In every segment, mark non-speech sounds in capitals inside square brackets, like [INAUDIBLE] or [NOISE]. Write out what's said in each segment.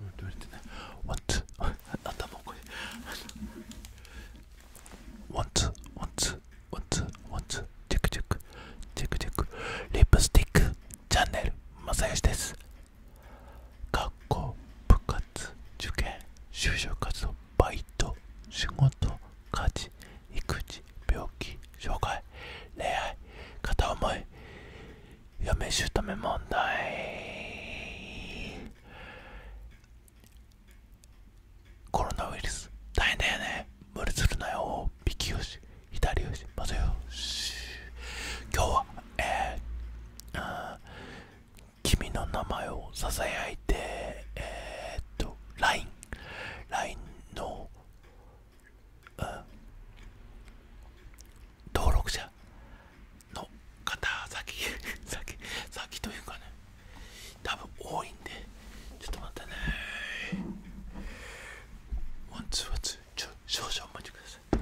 言われてね。ワンツ頭これ。ワンツー、ワンツー、ワンツチェックチェック、チェックチェック。リップスティックチャンネル、まさよしです。学校、部活、受験、就職活動、バイト、仕事、家事、育児、病気、障害、恋愛、片思い、嫁姑問題。コロナウイルス大変だよね無理するなよ右よし左よしまずよし今日はえー、君の名前をささやいてえっと LINE LINE の、うん、登録者の方先 [LAUGHS] 先先というかね多分多いんでちょっと待ってねワンツーワンツーちょ少々お待ちください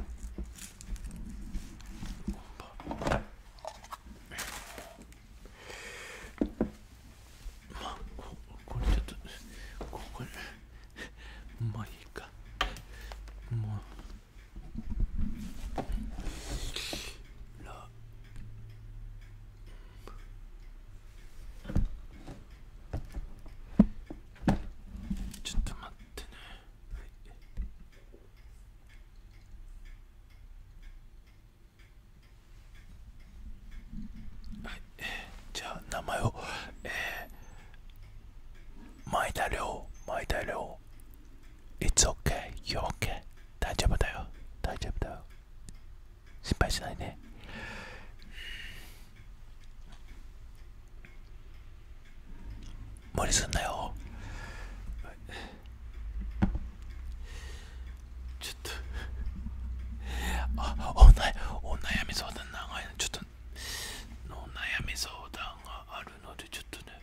まあここれちょっとここまあいいかもうちょっっと待てね。はい。じゃあ、名前を。え。田亮前田亮 It's okay, you're okay. 大丈夫だよ、大丈夫だよ。心配しないね。無理すんなよ。ちょっと、あ、おなお悩み相談長いな。ちょっと、お悩み相談があるので、ちょっとね、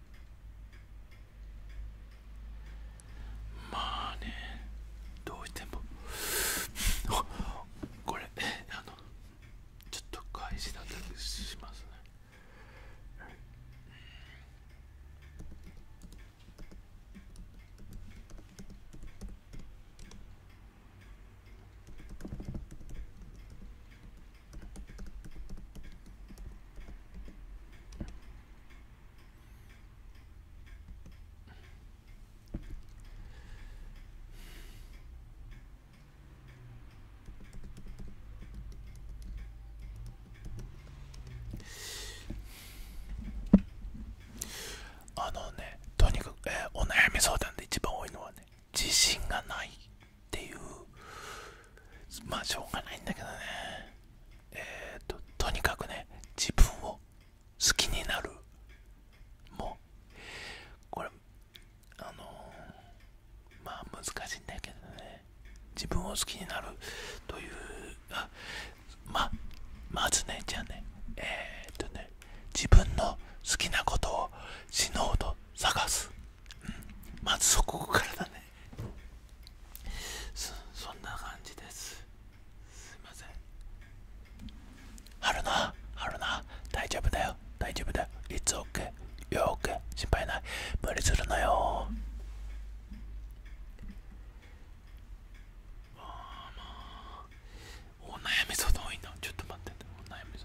まあねどうしても [LAUGHS] これあのちょっと返しだったりしますねうんあのねとにかく、お悩み相談で一番多いのはね自信がないっていうまあしょうがないんだけどねえっ、ととにかくね自分を好きになるもうこれあのまあ難しいんだけどね自分を好きになるというあままずねじゃあねえっ、とね自分の好きなことを死のうと探す、まずそこからだねそそんな感じですすいません春菜春菜大丈夫だよ大丈夫だよいつオッケー、よーく心配ない無理するなよまあまあお悩み相談多いなちょっと待ってお悩み相談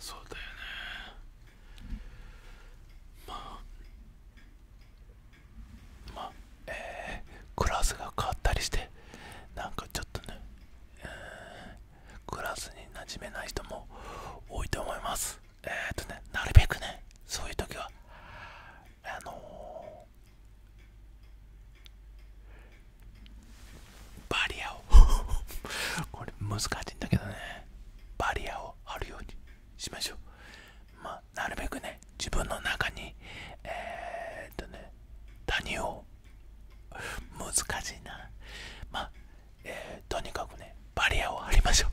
そうだよねまあまあえー、クラスが変わったりしてなんかちょっとね、クラスに馴染めない人も多いと思いますえっ、とねなるべくねそういう時はあのバリアを [LAUGHS] これ難しいんだけどねバリアを張るようにしましょうまあなるべくね自分の中にえっとね谷を難しいなまあえとにかくねバリアを張りましょう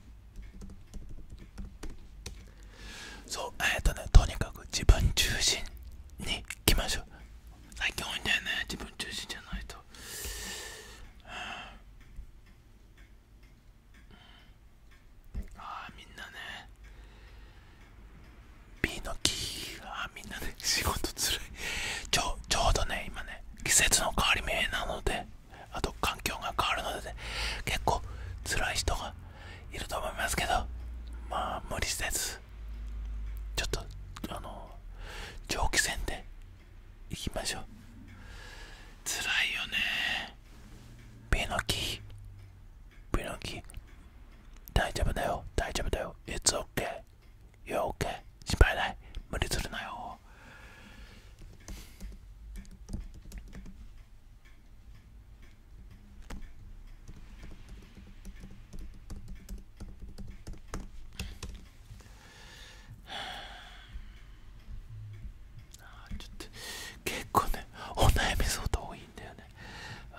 そうえっ、とねとにかく自分中心にいきましょう最近多いんだよね自分中心じゃないと、ああみんなね B の木ーあみんなね仕事つるいちょちょうどね今ね季節の変わり目なのであと環境が変わるので、ね、結構辛い人がいると思いますけどまあ無理せずちょっとあの長期戦でいきましょう辛いよねピノキピノキ大丈夫だよ大丈夫だよ It's okay You're o 心配ない無理するなよちょっと結構ねお悩み相当多いんだよね、うん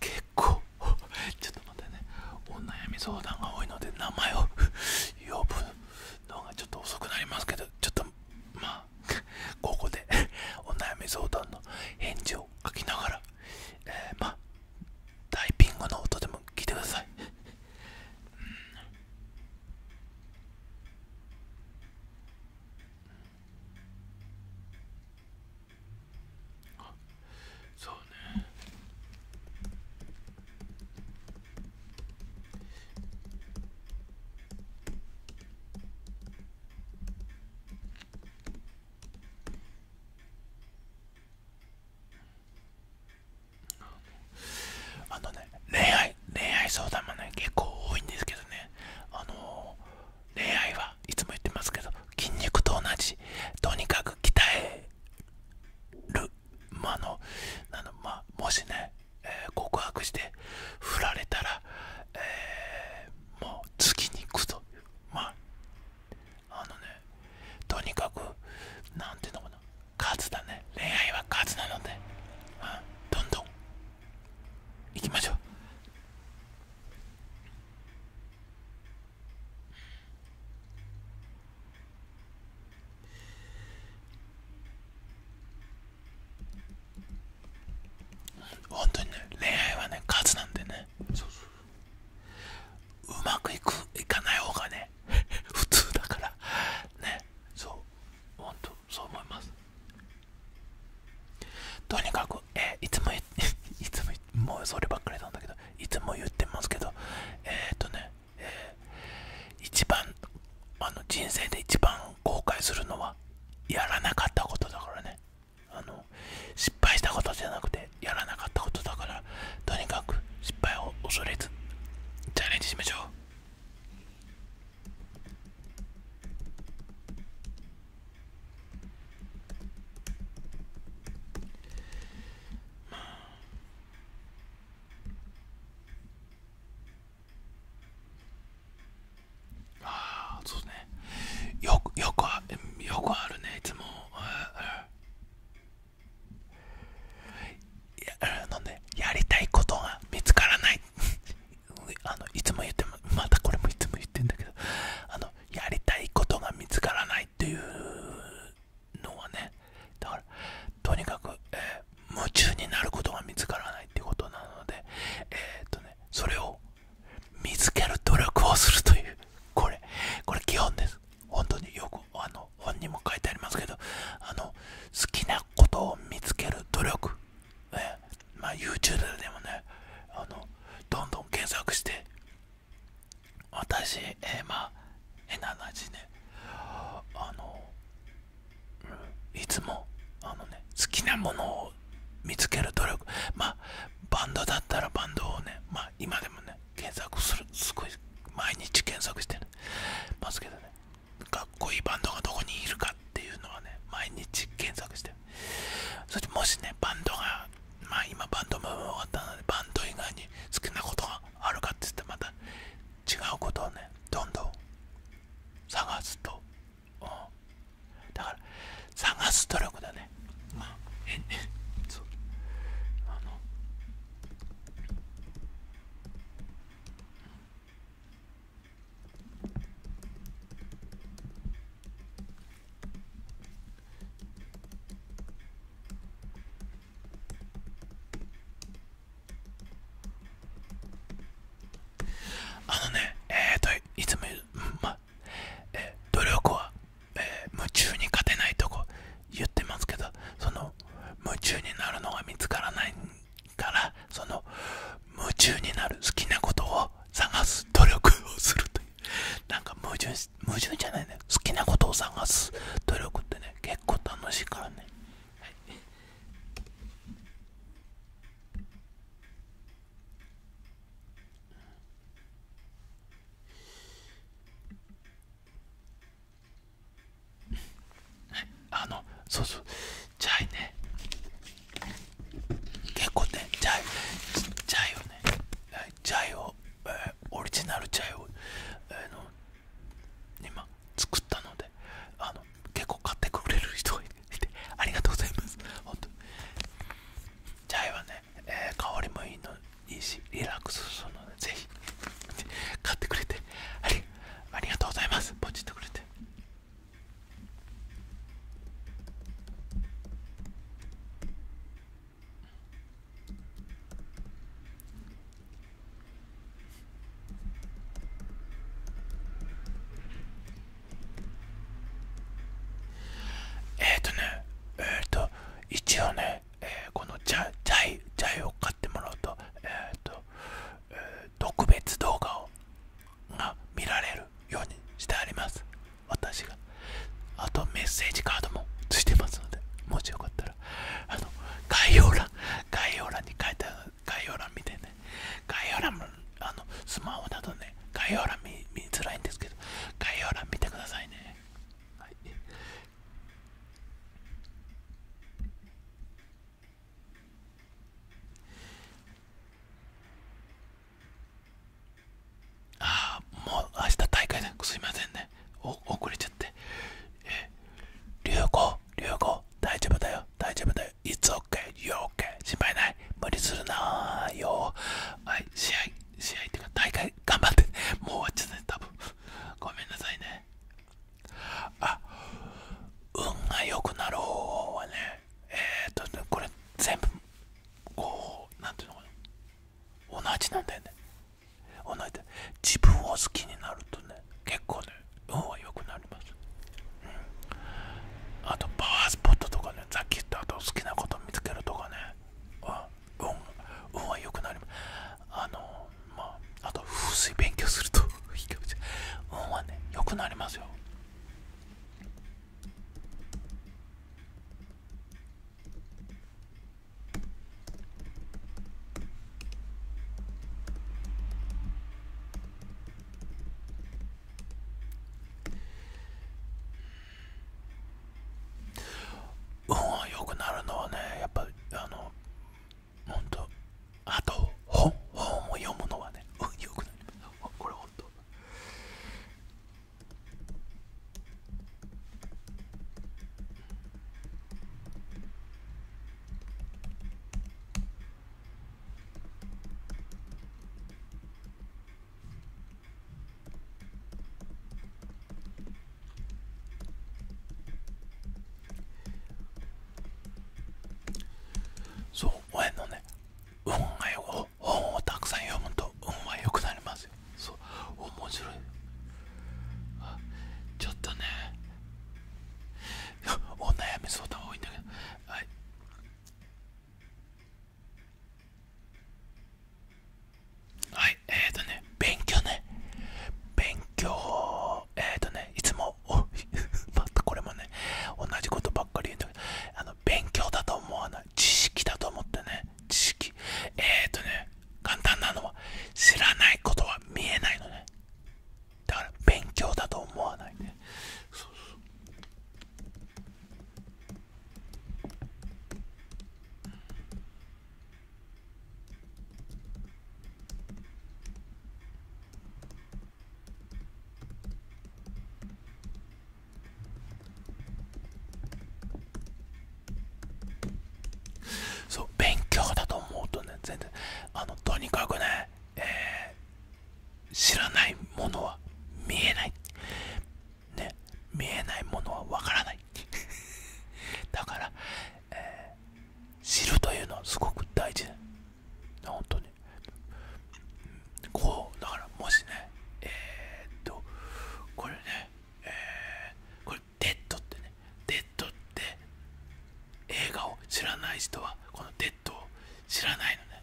結構ちょっと待ってねお悩み相談が多いので名前を [LAUGHS] 呼ぶのがちょっと遅くなりますけどちょっとまあここで [LAUGHS] お悩み相談の返事を書きながら、えまあイピングの音でも聞いてください。うんあそうねあのね恋愛恋愛相談もね結構多いんですけどねあの恋愛はいつも言ってますけど筋肉と同じとにかく鍛える。まの、あのまもしね、え告白して振られたら、えもう次に行くと。まあ、のね、とにかく、なんていうのかな、数だね。恋愛は勝つなので、うどんどん行きましょう。本当にね恋愛はね数なんでねそうそううまくいくいかない方がね普通だからねそう本当そう思いますとにかくえいつも [LAUGHS] いつももうそればっかりなんだけどいつも言ってますけどえっ、とね、えー、一番あの人生で一番後悔するのはやらなかったことだからねあの失敗したことじゃなくてやらなかったことだからとにかく失敗を恐れずチャレンジしましょう [SIGHS] ああそうねよくよくあよくあるねいつもいやあのねやりたいことが見つからない [LAUGHS] あのいつも言ってもまたこれもいつも言ってんだけどあのやりたいことが見つからないっていうのはねだからとにかく、え夢中になることが見つからないってことなのでえっとねそれを見つける努力をするというこれこれ基本です本当によくあの本にも書いてありますけどあの好きなことを見つける努力、えま YouTube でもねあのどんどん検索して私、えー、まあ、変な話ね、あの、いつも、あのね、好きなものを見つける努力、まバンドだったらバンドをね、ま今でもね、検索する、すごい、毎日検索してますけどね、かっこいいバンドがどこにいるかっていうのはね、毎日検索してそしもしね、バンドがまあ今バンドも終わったのでバンド以外に好きなことがあるかって言ってまた違うことをねどんどん探すと、だから探す努力だねまあ変ねそうあのあのね、えと、いつも、う努力は、夢中に勝てないと言ってますけど、その、夢中になるのが見つからないから、その、夢中になる好きなことを探す努力をするとなんか矛盾矛盾じゃないね好きなことを探す努力ってね結構楽しいからね、はい、あのそうそうチゃいね結構ねチゃい。チゃいよねチゃいをえオリジナルチャイを、えの今作ったのであの結構買ってくれる人がいてありがとうございます本当チャイはね、え香りもいいのいいしリラックスするのでぜひ買ってくれてありありがとうございますポチってくれてえっ、ー、とね、えっ、ー、と、一応ね、このジャイ、を買ってもらうと、えっ、と、特別動画をが見られるようにしてあります。私があとメッセージカードもついてますのでもしよかったらあの概要欄概要欄に書いてある概要欄見てね概要欄もあのスマホだとね概要欄見見づらいんですけど概要欄見てくださいね、はい、ああもう明日大会ですいませんね遅れちゃってえ流行流行大丈夫だよ大丈夫だよい It's OK よ OK 心配ない無理するなよはい試合試合っていうか大会頑張ってもう終わっちゃったね多分ごめんなさいねあ運が良くなろうはねえっとこれ全部おお何ていうのかな同じなんだよね同じだ自分を好きになるとね結構ね運は良くなります、うん、あとパワースポットとかねさっき言ったあと好きなこと見つけるとかね運運は良くなりますあのまああと風水勉強すると [LAUGHS] 運はね良くなりますようん。運は良くなるのはねやっぱあのほんとあと本本を読むのはね運良くなりますこれほんとそう、親のね、運愛を本をたくさん読むと運は良くなりますよそう面白いちょっとね [LAUGHS] お悩み相談多いんだけどはいはいえっ、とね勉強ね勉強えっ、とねいつも [LAUGHS] これもね同じことばっかり言うんだけどあの勉強だと思わない知識だと思ってね知識。えっ、ー、とね、簡単なのは、知らないことは見えないのね。だから、勉強だと思わないね。そうそうそう勉強だと思うとね全然あのとにかくね、え知らないものは見えないね見えないものは分からない [LAUGHS] だから、え知るというのはすごく大事ね本当にこうだからもしねえっとこれねえこれデッドってねデッドって映画を知らない人はこのデッドを知らないのね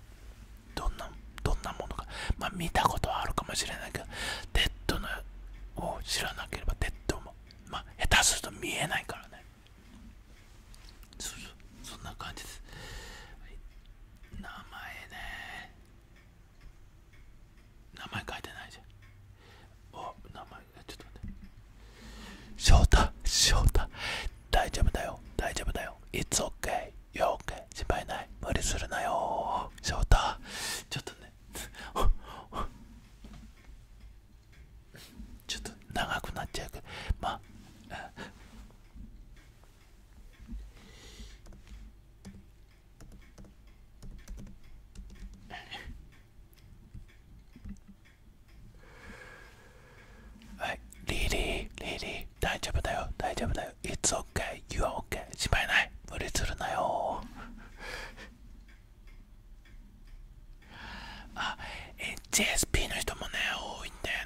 どんなどんなものかまあ見たことはあるかもしれないけどデッドのを知らなければデッドもまあ下手すると見えないからねそそんな感じです名前ね名前書いてないじゃんお名前ちょっと待って翔太翔太大丈夫だよ大丈夫だよいつオッケー、よ、オッケー、e o 心配ない無理するなよ翔太ちょっとねちょっと長くなっちゃうけどまあはいリリーリリー大丈夫だよ大丈夫だよ It's okay o u are okay しまえない無理するなよあ H s p の人もね多いんだよ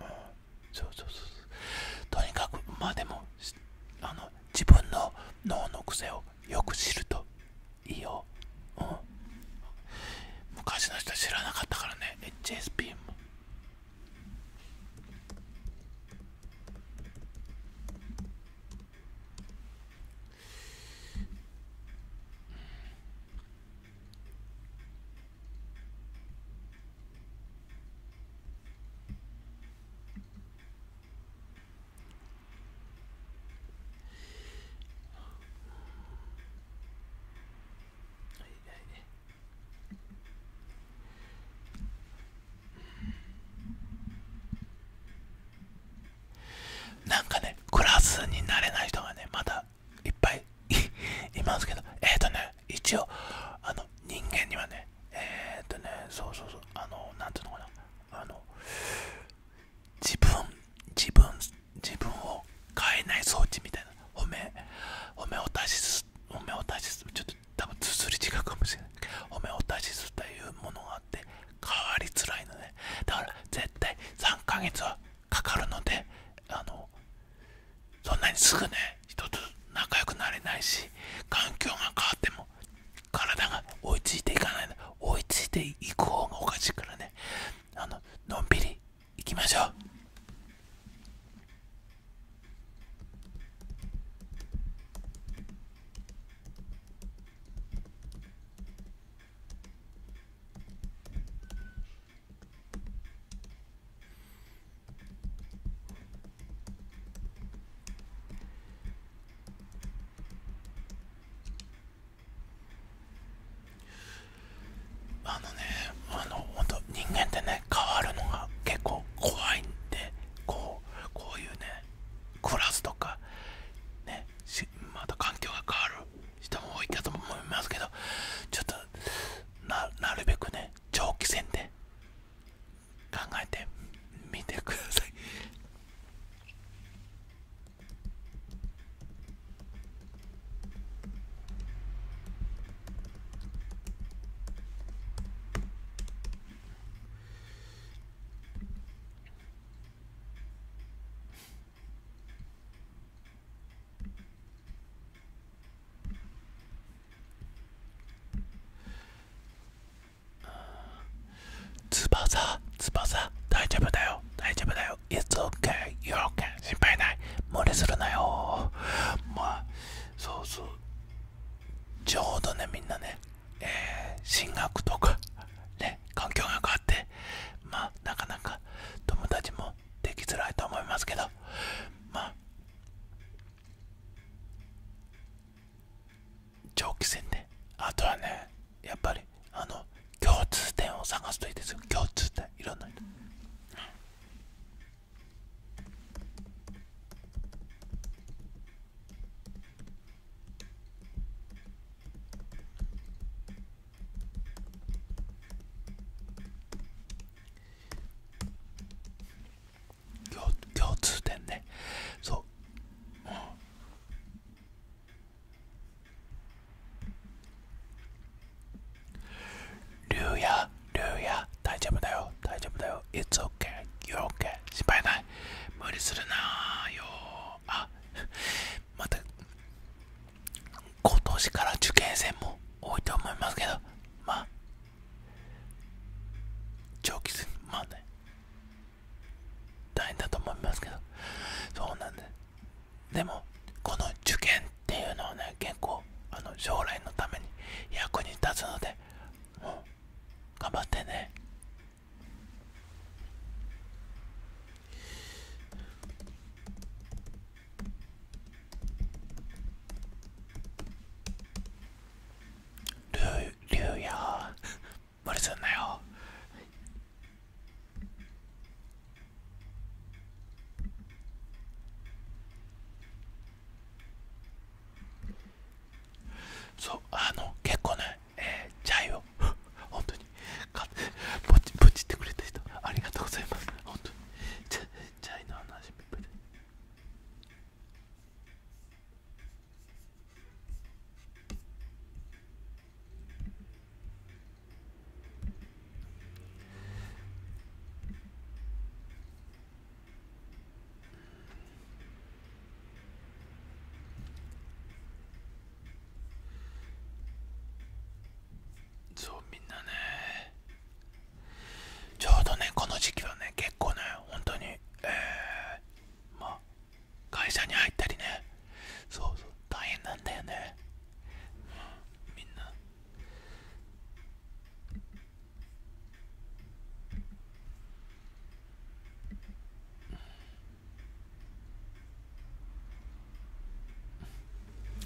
な、うんそうそうそうとにかくまでもあの自分の脳の癖をよく知るといいよ、うん、昔の人知らなかったからね HSP もなんかねクラスになれない人がねまだいっぱいい [LAUGHS] ますけどえっ、とね一応あの人間にはねえっとねそうそうそうあの何ていうのかなあの自分自分自分を変えない装置みたいなおめおめを出しすおめを出しすちょっと多分すすり違うかもしれないおめを出しすというものがあって変わりづらいのねだから絶対3ヶ月はかかるのであのそんなにすぐね人つ仲良くなれないし環境が変わっても体が追いついていかないの追いついていく方がおかしいからねあののんびりいきましょうあのねあのほんと人間ってね変わるのが結構怖いんでこうこういうねクラスとかねまた環境が変わる人も多いかと思いますけどちょっとななるべくね長期戦で考えてみてください翼翼大丈夫だよ大丈夫だよ It's okay y o u r k 心配ない無理するなよまあそうそうちょうどねみんなね、え進学とかね環境が変わってまあなかなか友達もできづらいと思いますけどまあ長期戦であとはねやっぱりあの共通点を探すといいですよ共通点いろんな人共通点ねそう、うん、リュウヤリュウヤ大丈夫だよ大丈夫だよいつオッケー、よオッケー、e o 心配ない無理するなよあまた今年から受験生も多いと思いますけどまあ長期戦まあね大変だと思いますけどそうなんですでもこの受験っていうのはね結構あの将来のために役に立つのでもう頑張ってねルーリュウや無理すんなよそうあの結構ねえー、チャイを [LAUGHS] 本当にぶちぶちってくれた人ありがとうございます本当にチャイの話ったいそうみんなねちょうどねこの時期はね結構ね本当にえま会社に入ったりねそうそう大変なんだよね、まあ、みんな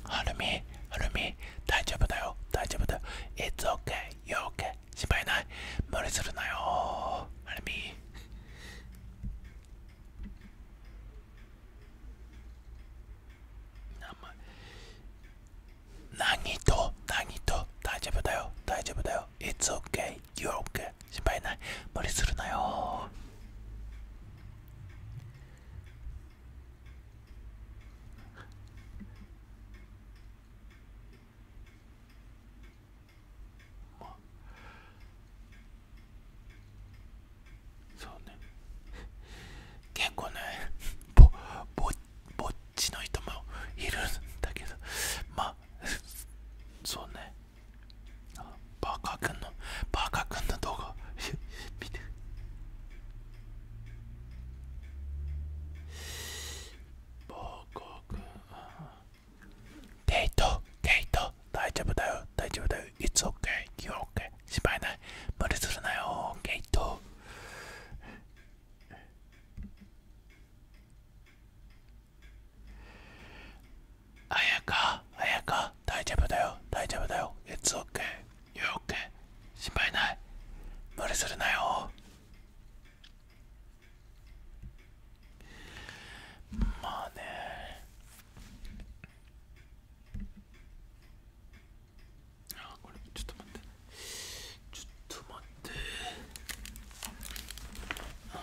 はるみ、はるみ、大丈夫だよ、大丈夫だよ。It's okay, you're okay. 心配ない。無理するなよ、はるみ。何と何と大丈夫だよ大丈夫だよ It's okay, you're okay 心配ない無理するなよまあそうね結構ねぼぼっちの人もいるんだけどまあそうねバーカー君のバーカー君の動画見てボーコートデイト大丈夫だよ大丈夫だよ It's okay y オ u r e okay 心配ない無理するなよゲイトあやかあやか大丈夫だよ大丈夫だよ i t オ o k a いや、オッケー。心配ない。無理するなよ。まね。あ、これ、ちょっと待って。ちょっと待って。あの、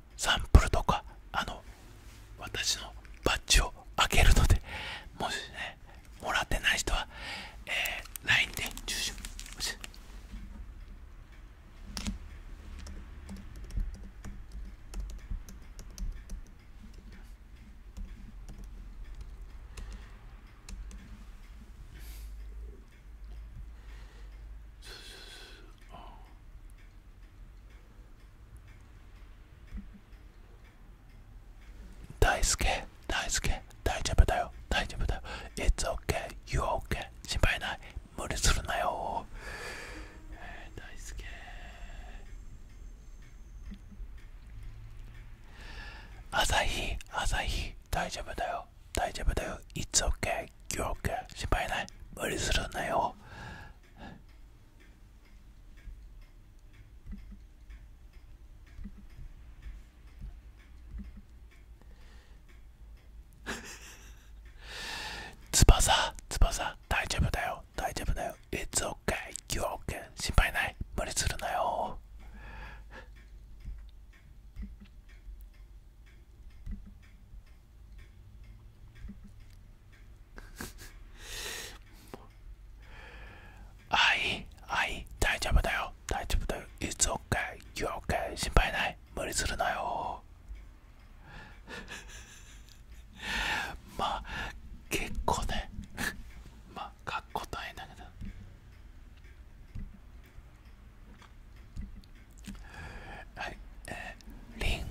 サンプルとかあの私のバッジを開けるのでもしねもらってない人は、えー、LINE で住所大輔大輔大丈夫だよ大丈夫だよ It's okay You okay 心配ない無理するなよ、えー、大輔朝日朝日大丈夫だよ大丈夫だよ It's okay You okay 心配ない無理するなよ [LAUGHS] 翼翼大丈夫だよ大丈夫だよ It's okay you're 心配ない無理するなよはいはい大丈夫だよ大丈夫だよ It's okay You're okay 心配ない無理するなよ [LAUGHS] まあ結構ね [LAUGHS] まあかっこいんだけどはいえリン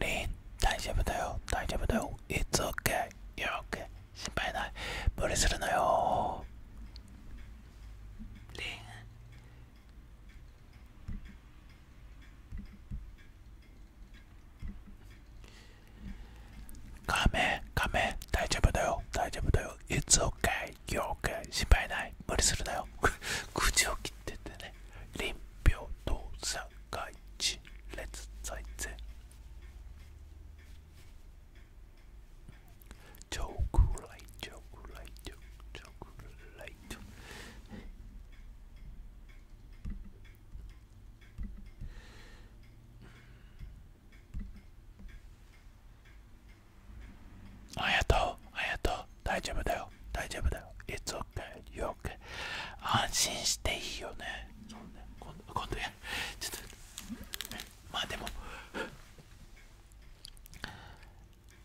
リン大丈夫だよ大丈夫だよ It's okay You're okay 心配ない無理するなよリンカメカメ大丈夫だよ大丈夫だよ It's okay You're okay 心配ない無理するなよ口を切っててねリン臨病動作 Vergangenheitsreise. Chocolate, chocolate, chocolate. ありがとう、ありがとう、大丈夫だよ。大丈夫だよ It's okay, 安心していいよね今度やちょっとまあでも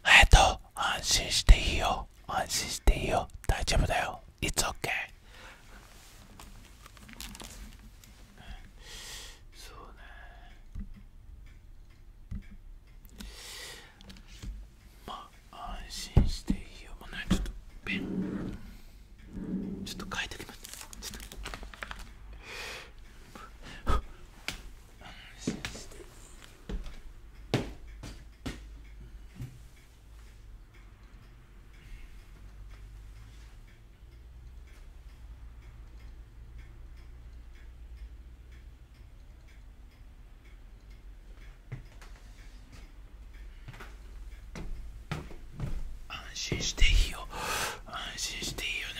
えっと安心していいよ安心していいよ大丈夫だよ It's o k a そうねまあ安心していいよもうねちょっとペンちょっと書いてきます安心していいよ安心していいよね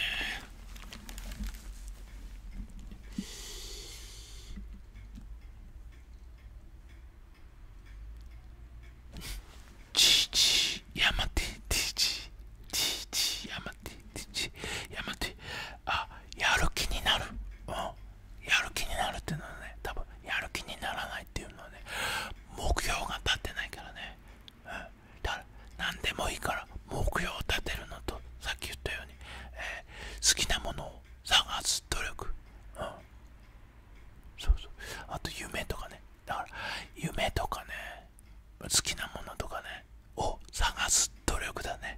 ちちやまてちちちちやまてちちやまてあやる気になるうんやる気になるっていうのはね多分やる気にならないっていうのはね目標が立ってないからね、うん、だから何でもいいから目標を立てるのとさっき言ったように、え好きなものを探す努力、そうそうあと夢とかねだから夢とかね好きなものとかねを探す努力だね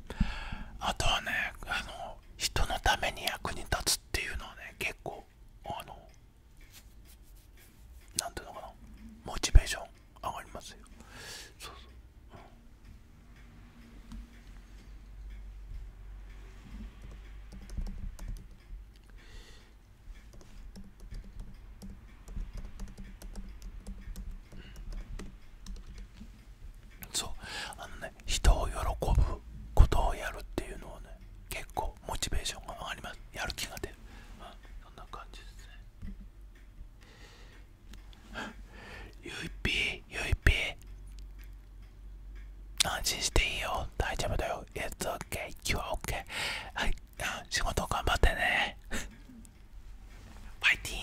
あとはねあの人のために役に立つっていうのはね結構あのなんていうのかなモチベーション上がりますよそうそう、うん、そうあのね人を喜ぶことをやるっていうのはね結構モチベーションが上がりますやる気が出る、うそんな感じですねゆいぴーゆいぴー安心していいよ大丈夫だよ i つ s okay, you're o k はい仕事頑張ってねパイティ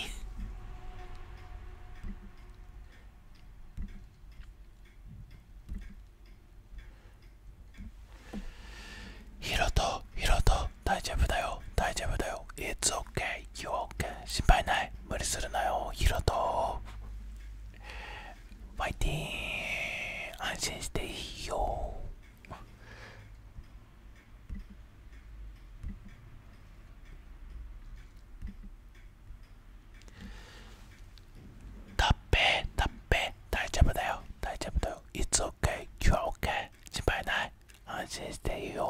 ーンヒロトヒロト大丈夫だよ大丈夫だよ It's okay You o 心配ない無理するなよヒロトファイティーン安心していいよタッペータッペー大丈夫だよ大丈夫だよいつ s okay 今日ッケー。心配ない安心していいよ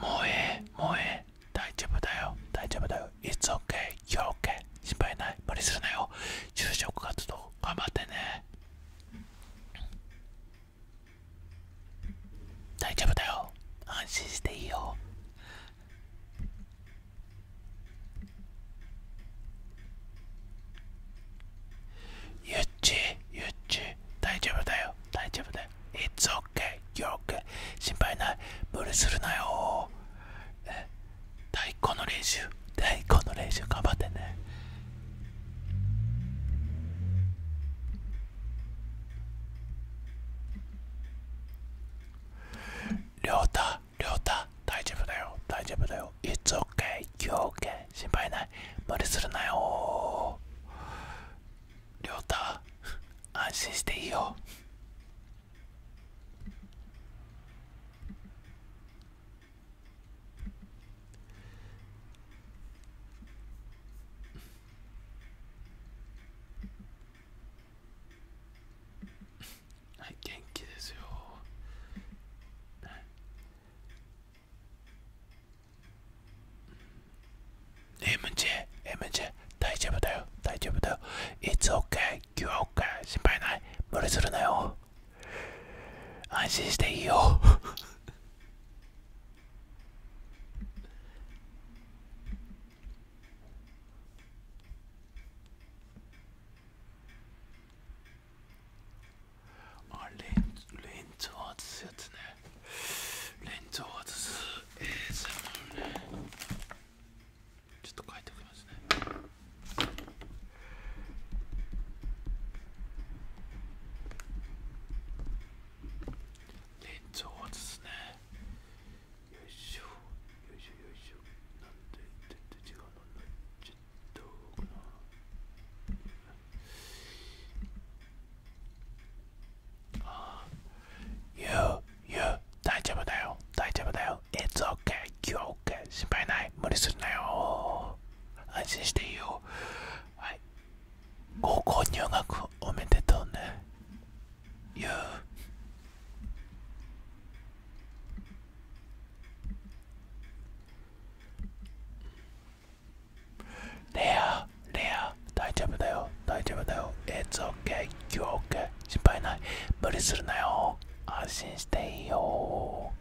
もうええもうええ大丈夫だよ大丈夫だよ It's okay you're k 心配ない無理するなよ就職活動頑張ってね大丈夫だよ安心していいよゆっちゆっち大丈夫だよ大丈夫だよ It's okay, you're okay 心配ない無理するなよ太鼓の練習太鼓の練習頑張ってねりょうたりょうた大丈夫だよ大丈夫だよ It's okay, you're okay 心配ない無理するなよ亮太安心していいよ元気ですよ MJ、MJ、大丈夫だよ、大丈夫だよ。It's okay, you are okay, 心配ない。無理するなよ。安心していいよ。あレンンズを外すやつね。レンズを外 ASMR ねちょっと書いておきますねレンズを外すねよいしょよいしょよいしょなんで全て、違うのちょっとの You, you, 大丈夫だよ、大丈夫だよ。It's okay, you're okay. 心配ない、無理するなよ。安心していう。はい。高校入学おめでとうね。You. レアレア大丈夫だよ大丈夫だよ It's okay 今日 OK 心配ない無理するなよ安心していいよ [LAUGHS]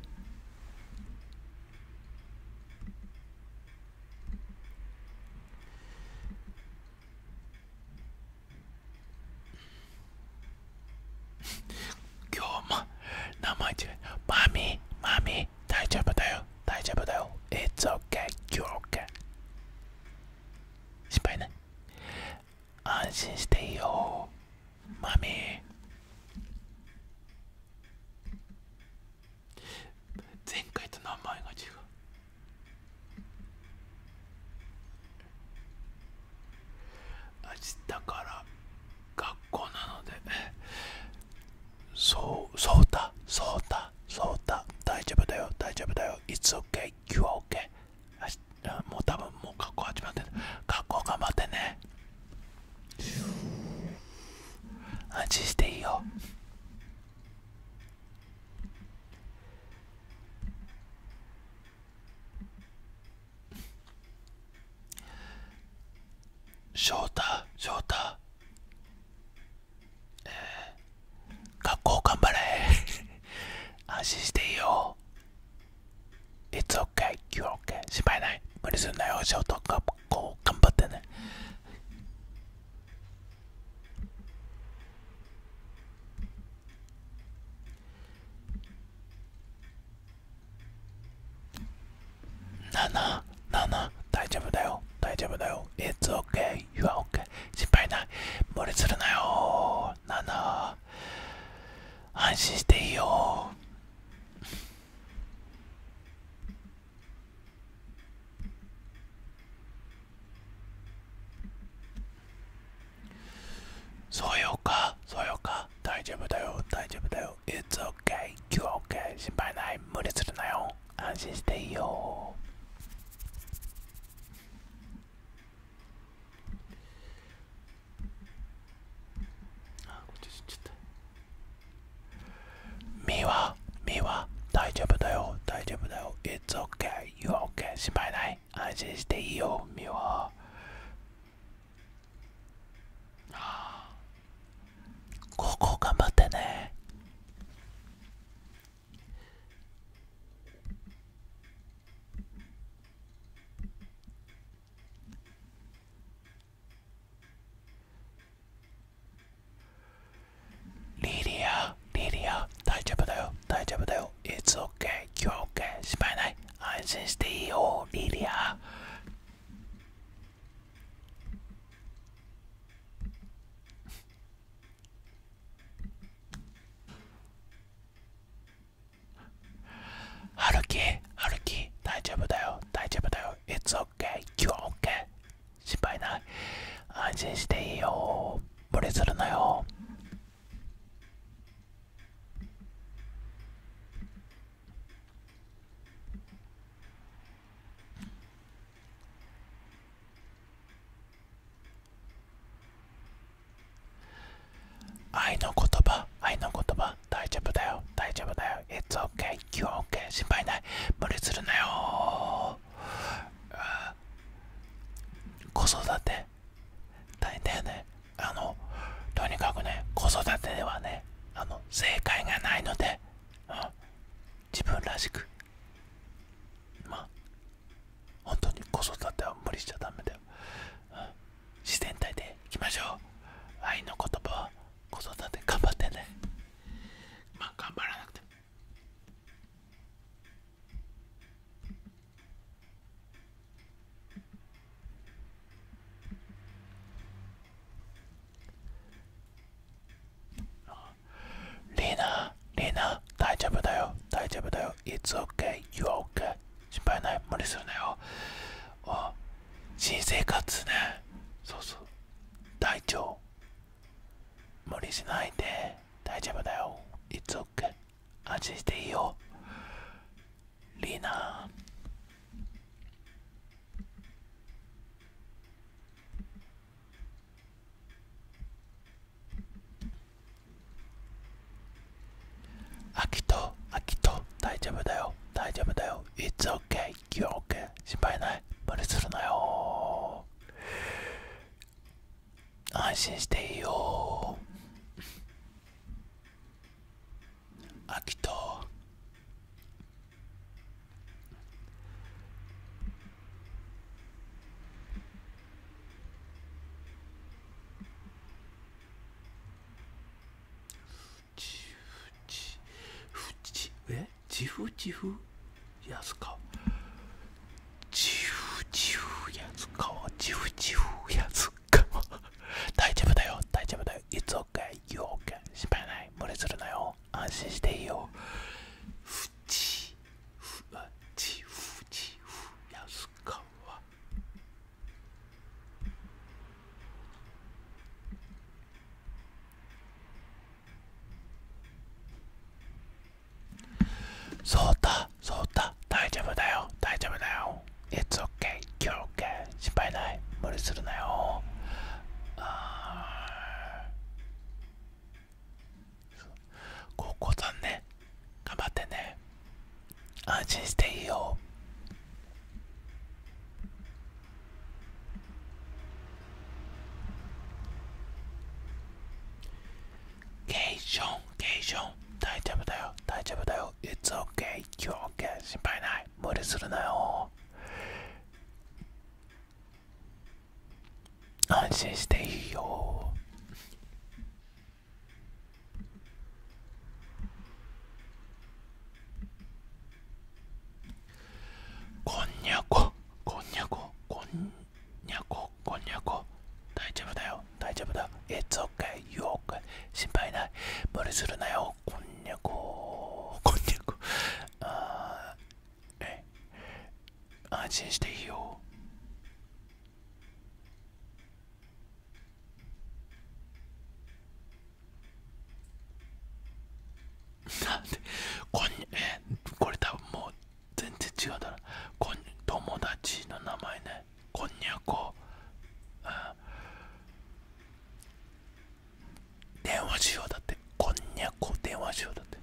今日も名前違うマミマミ大丈夫だよ大丈夫だよ It's okay OK 心配ない安心していいよマミー前回と名前が違う明日から学校なのでそうそうた、そうた、そうた、大丈夫だよ大丈夫だよいつ s o k a 月給は OK もう多分もう学校始まってる学校頑張ってね安心していいよ翔太翔太え学校頑張れ [LAUGHS] 安心していいよ It's okay, you're okay 心ない無理すんなよショート学校頑張ってねなななな大丈夫だよ大丈夫だよ It's o k い You are OK 心配ない無理するなよなあなあ安心していいよそうよかそうよか大丈夫だよ大丈夫だよ It's OK You are OK 心配ない無理するなよ安心していいよあこっち行っちゃったみはみは大丈夫だよ大丈夫だよ It's okay You're okay 心配ない安心していいよみは高校頑張ってねリリア、リリア、大丈夫だよ、大丈夫だよ。It's okay, you're okay. 失敗ない。安心していいよ、リリア。歩き歩き大丈夫だよ大丈夫だよ It's okay you're o k 心配ない安心していいよ無理するなよ愛の言葉愛の言葉大丈夫だよ大丈夫だよ It's okay you're okay 心配ない無理するなよ子育て大体ねあのとにかくね子育てではねあの正解がないので、自分らしくまあ本当に子育ては無理しちゃダメだよ、自然体でいきましょう愛の言葉は子育て頑張ってねまあ頑張らなくてもあリーナ、リーナ、大丈夫だよ、大丈夫だよ。いつ s okay, you are o 心配ない、無理するなよ。あ新生活ね。そうそう。大丈夫。無理しないで、大丈夫だよ。いつ s o k a 安心していいよ。リーナ。アキト、アキト、大丈夫だよ、大丈夫だよ。It's okay, you're k a y 心配ない、無理するなよ。安心していいよ。アキト。えチフチフやすかチフチフやすかはチフチフやすか大丈夫だよ大丈夫だよいつおかいようかし心配ない無れするなよ安心していいよふちちふわちふちふやすかわそうだそうだ大丈夫だよ大丈夫だよ It's okay 今日 OK 心配ない無理するなよあ高校さんね頑張ってね安心していいよケーションケーション大丈夫だよ大丈夫だよ It's okay, you're 心配ない無理するなよ安心していいよこんにゃここんにゃここんにゃここんにゃこ大丈夫だよ大丈夫だ It's okay you okay 心配ない無理するなよこんにゃここんにゃこあえ安心していいよなんでこんにえこれ多分もう全然違うだろこん友達の名前ねこんにゃこ、うん、電話しようだってこんにゃこ電話しようだって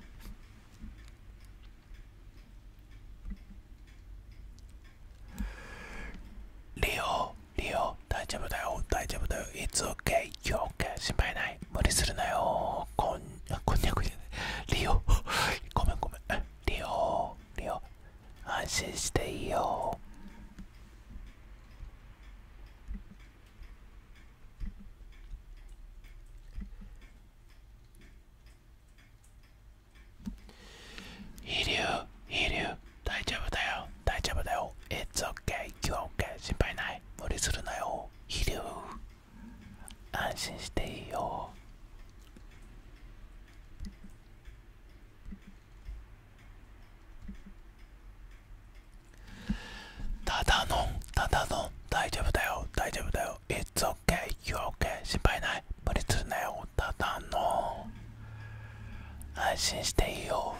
リオ、リオ、大丈夫だよ、大丈夫だよ、いつ s okay, you're o k a ない、無理するなよ、こんこんにゃくじゃない、リオ、ごめんごめん、リオ、リオ、安心していいよ。飛竜飛竜大丈夫だよ大丈夫だよ It's okay 今日 OK 心配ない無理するなよ飛竜安心していいよただのただの大丈夫だよ大丈夫だよ It's okay you okay 心配ない無理するなよただの安心していいよ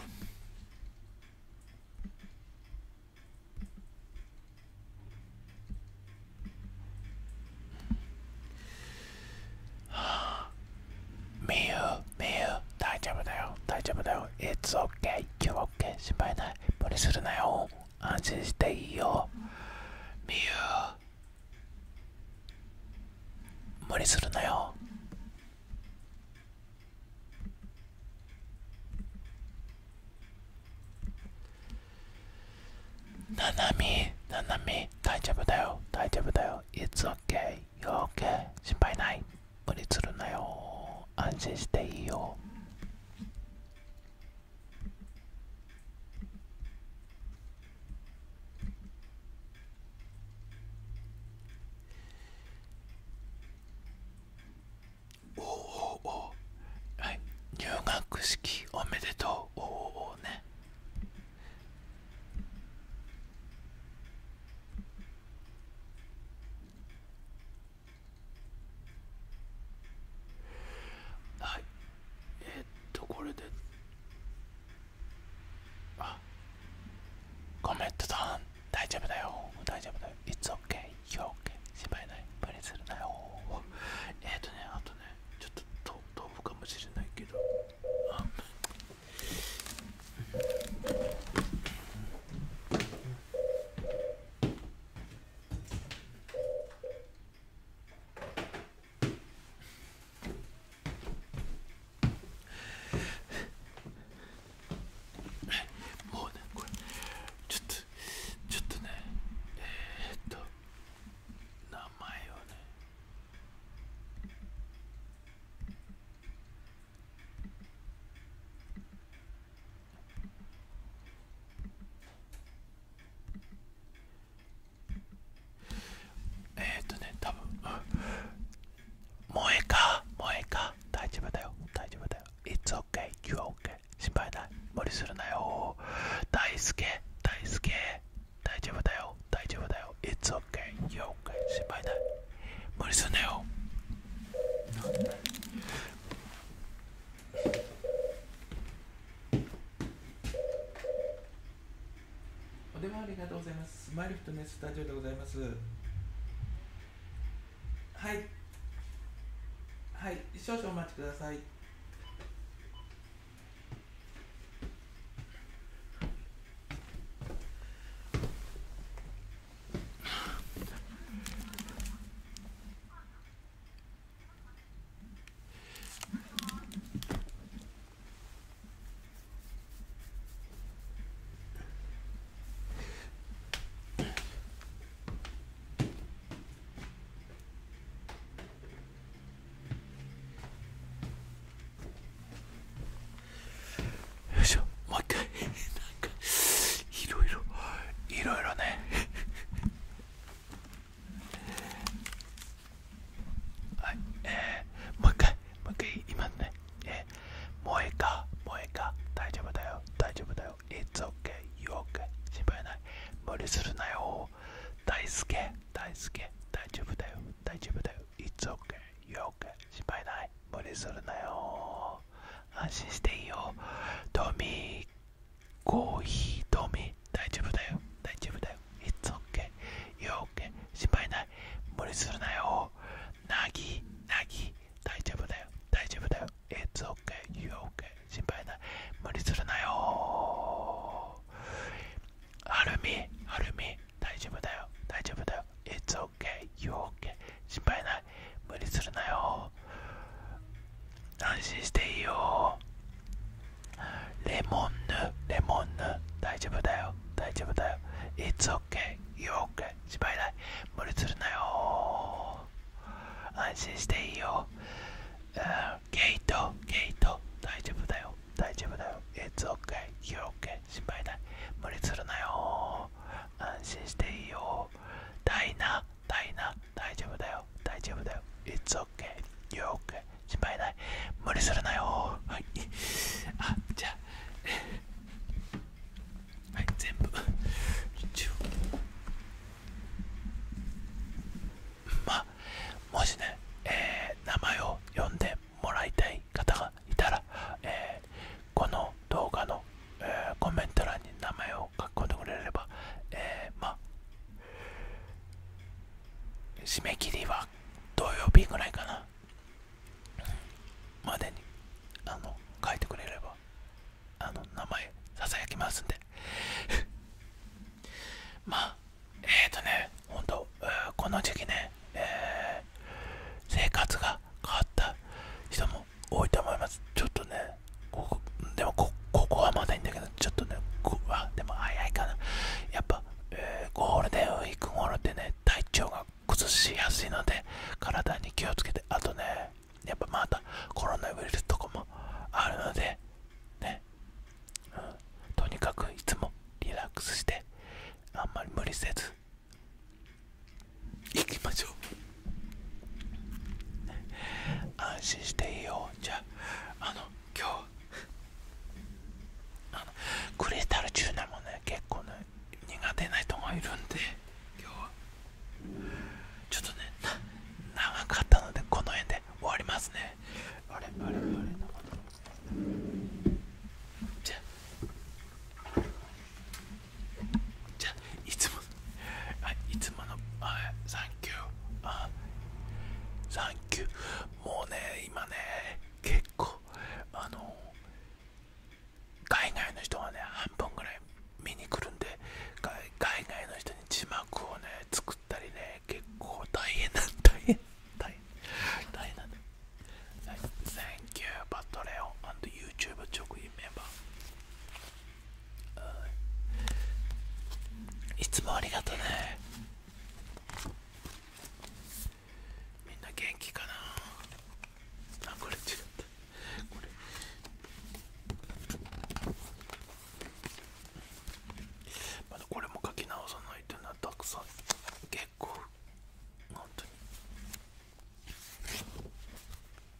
みゆ大丈夫だよ大丈夫だよ It's o k y o u o k 心配ない無理するなよ安心していいよみゆ無理するなよななみななみ大丈夫だよ大丈夫だよ It's okay You're okay 心配ない無理するなよ安心していいよおおおはい入学式おめでとうおおおねはいえっとこれであコメントさん大丈夫だよ大丈夫だよ It's okay y o u r okay 心配ない無理するなよえっとねあとねちょっと豆腐かもしれないけどあうんもうねこれちょっとちょっとねえっと名前をねえっ、とね多分萌えか萌えか大丈夫だよ大丈夫だよ It's okay you're okay 心配ない無理するなよ大輔大輔大丈夫だよ大丈夫だよ It's okay you're okay 心配ない無理するなよお電話ありがとうございます。マイフィネススタジオでございます。はい。はい、少々お待ちください。よいしょもう一回いろいろいろいろね [LAUGHS] はいえー、もう一回もう一回今ねえー、萌えか萌えか大丈夫だよ大丈夫だよ It's okay o u o k 心配ない無理するなよ大輔大輔大丈夫だよ大丈夫だよ It's okay o u o k 心配ない無理するなよ安心していいよトミーコーヒー飲み大丈夫だよ大丈夫だよ It's okay You're okay 心配ない無理するなよなぎなぎ大丈夫だよ大丈夫だよ It's okay You're okay 心配ない無理するなよはるみはるみ大丈夫だよ大丈夫だよ It's okay You're okay 心配ないい無理するなよ安心していいよレモンヌレモンヌ大丈夫だよ大丈夫だよ It's okay オ o u r e okay 芝居ない無理するなよ安心していいよ、うん、ゲートゲート大丈夫だよ大丈夫だよ It's okay y o ケ r e okay 心配ない無理するなよ安心していいよダイナダイナ大丈夫だよ大丈夫だよ It's okay You're okay 心配ない無理するなよはいあじゃあはい全部まあもしね、えー、名前を呼んでもらいたい方がいたら、えー、この動画の、えー、コメント欄に名前を書き込んでくれれば、えー、まあ、締め切りは土曜日ぐらいかな、までに、あの、書いてくれれば、あの、名前、ささやきますんで。[LAUGHS] まあ、えっ、とね、ほんと、えこの時期ね、えー、生活が変わった人も多いと思いますちょっとねここでもここはまだいいんだけどちょっとねこあでも早いかなやっぱ、えー、ゴールデンウィーク頃ってね体調が崩しやすいので体に気をつけてあとねやっぱまたコロナウイルスとかもあるのでね、うん、とにかくいつもリラックスしてあんまり無理せず行きましょう安心していいよじゃああの今日あのクリスタルチューナもね結構ね苦手な人がいるんで今日はちょっとね長かったのでこの辺で終わりますねあれあれあれじゃあじゃあいつもあいつものあサンキューあサンキューもうね今ね結構あの海外の人はね半分ぐらい見に来るんで海外の人に字幕をね作ったりね結構大変な [LAUGHS] 大変大変大変なんだサンキュー、バトレオ、a t r e o n and YouTube 直 m メンバー。いつもありがとねみんな元気かなあこれ違ったこれまだこれも書き直さないというのはたくさん結構本当に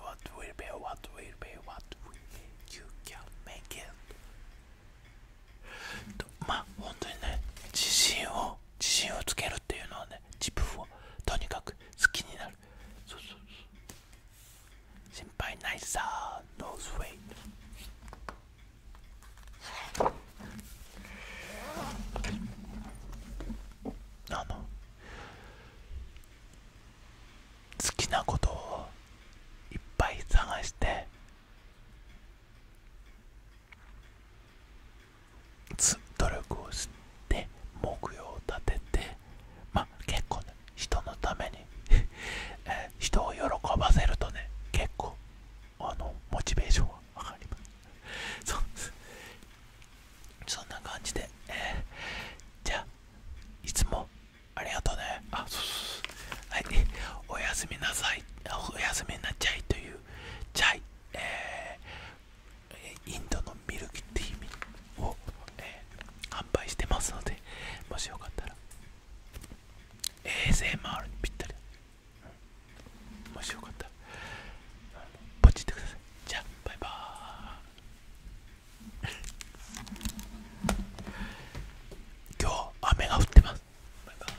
What will be, what will be, what w を自るっ分かくな心配ないさノあの好きなことをいっぱい探して努力をして目標を立ててまあ結構ね人のために [LAUGHS] 人を喜ばせるとね結構あのモチベーションは上がります [LAUGHS] そんな感じで、えじゃあいつもありがとうねあそうそうはいおやすみなさいおやすみなチャイというチャイ、えインドのミルキーティーを、えー、販売してますのでもしよかったら ASMR にぴったりもしよかったらポチってくださいじゃあバイバーイ今日雨が降ってますバイバーイ